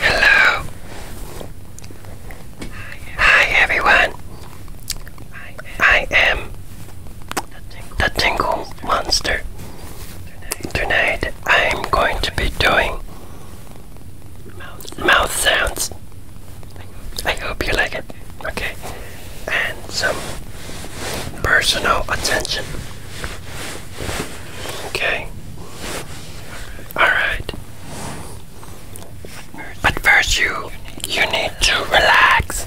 Hello. Hi everyone. I am the Tingle Monster. Tonight I'm going to be doing mouth sounds. I hope you like it. Okay. And some personal attention. Okay. Alright. But first you you need to relax.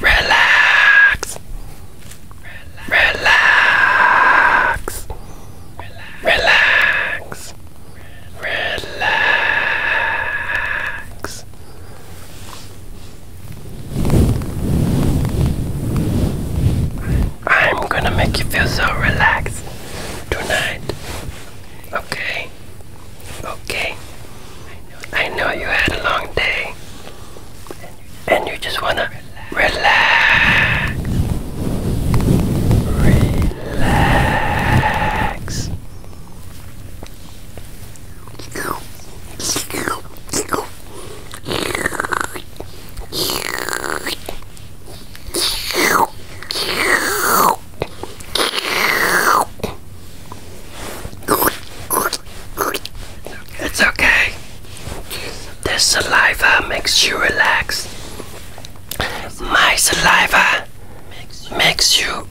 Relax. Relax. Relax. Relax relax, I'm gonna make you feel so relaxed tonight. Okay, okay. I know you had a long day and you just wanna Relax. Relax. It's okay. This saliva makes you relax. My saliva makes you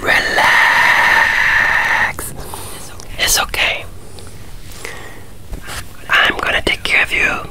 relax. It's okay. I'm gonna take care of you.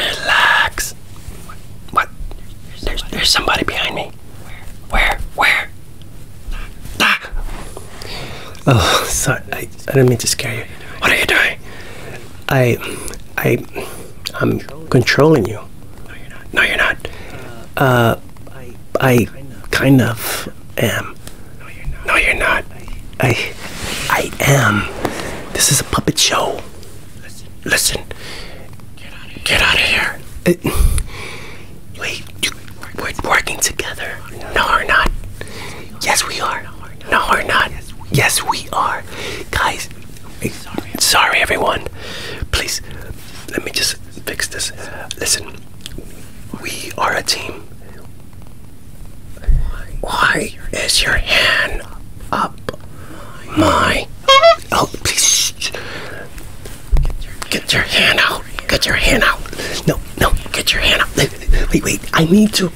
Relax. What? what? There's, there's, somebody. there's somebody behind me. Where? Where? Where? Ah. Oh, sorry. I, didn't mean to scare you. What are you doing? I, I, I'm controlling you. No, you're not. Uh, I kind of am. No, you're not. I, I am. This is a puppet show. Listen. Listen. Get out of here. Uh, wait. You, we're working together. No, we're not. Yes, we are. No, we're not. Yes, we are. Guys, sorry, everyone. Please, let me just fix this. Listen, we are a team. Why is your hand up my? Oh, please. Get your hand out out. Get your hand out. No, no, get your hand out. Wait, wait, I need to.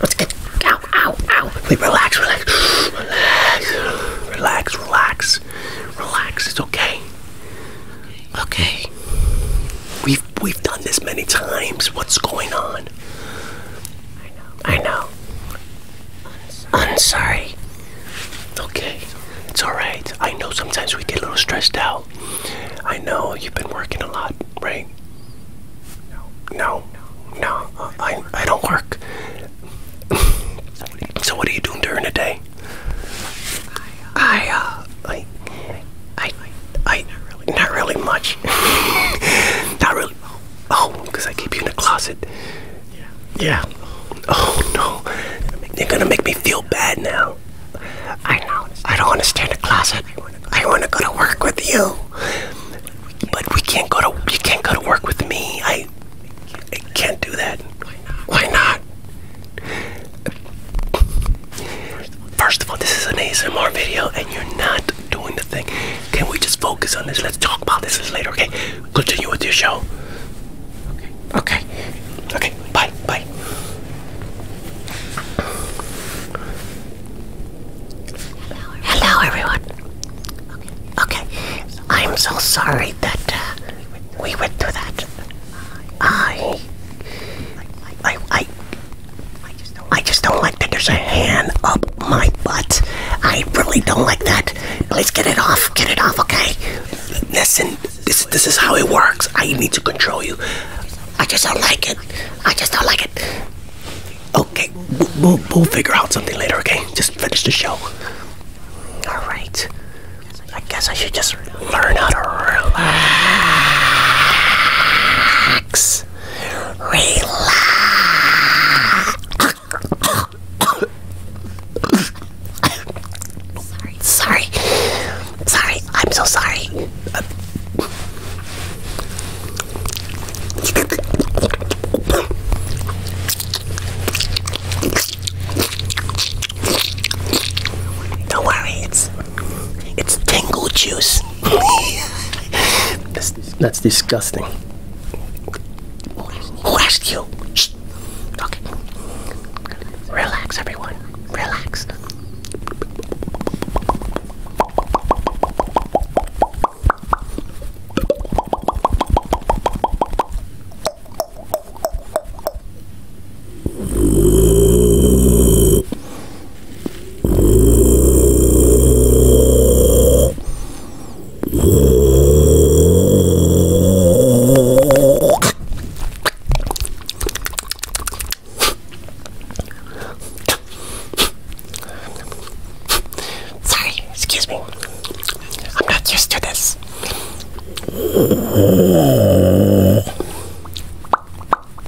Let's get. Ow, ow, ow. Wait, relax, relax. Relax, relax, relax. Relax, it's okay. Okay. We've, we've done this many times. What's going on? I know. I know. I'm sorry. I'm sorry. Okay. It's alright. I know sometimes we get a little stressed out. I know you've been working a lot, right? No, no, no I, I don't work. so what are you doing during the day? I, uh, I, I, I, not really much. not really. Oh, because I keep you in the closet. Yeah. Oh no. They're gonna make me feel bad now. I know. I don't want to stay in the closet. I want to go to work with you. But we can't go to you can't go to work with me. I I can't do that. Why not? First of all, this is an ASMR video and you're not doing the thing. Can we just focus on this? Let's talk about this later, okay? Continue with your show. Okay. Okay. Bye. Bye. Hello, everyone. Okay. I'm so sorry that uh, we went through that. I. I. I. I just don't like that there's a hand up my butt. I really don't like that. Please get it off. Get it off, okay? Listen, this this is how it works. I need to control you. I just don't like it. I just don't like it. Okay, we'll, we'll figure out something later, okay? Just finish the show. All right. I guess I should just learn how to relax. Relax sorry, sorry, sorry. I'm so sorry. Uh, don't worry, it's it's tingle juice. that's disgusting. Who asked you? Shh. Okay. Relax, everyone. Relax. Sorry, excuse me. I'm not used to this.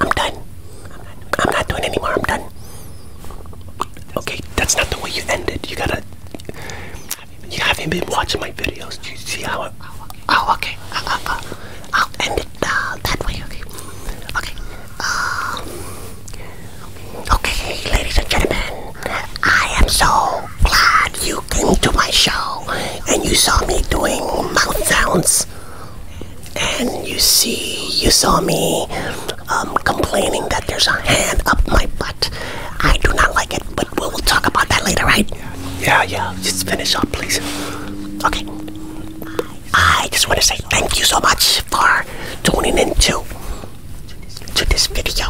I'm done. I'm not doing anymore. I'm done. Okay, that's not the way you ended. You gotta. You haven't been watching my videos. Do you see how? oh, okay. Uh, uh, uh, I'll end it that way. Okay. Okay. Um, okay, ladies and gentlemen, I am so glad you came to my show and you saw me doing mouth sounds and you see you saw me um, complaining that there's a hand up my butt i do not like it but we'll, we'll talk about that later right yeah yeah just finish up please okay i just want to say thank you so much for tuning in to, to this video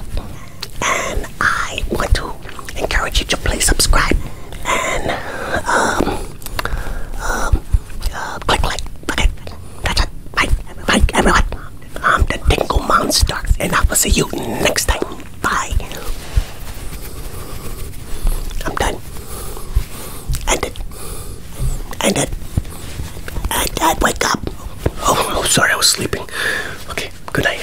and i want to encourage you to please subscribe and um, um, uh, click like. Okay, that's it. Bye, bye, everyone. I'm the Dingle Monster, and I will see you next time. Bye. I'm done. Ended. Ended. I and wake up. Oh, oh, sorry, I was sleeping. Okay, good night.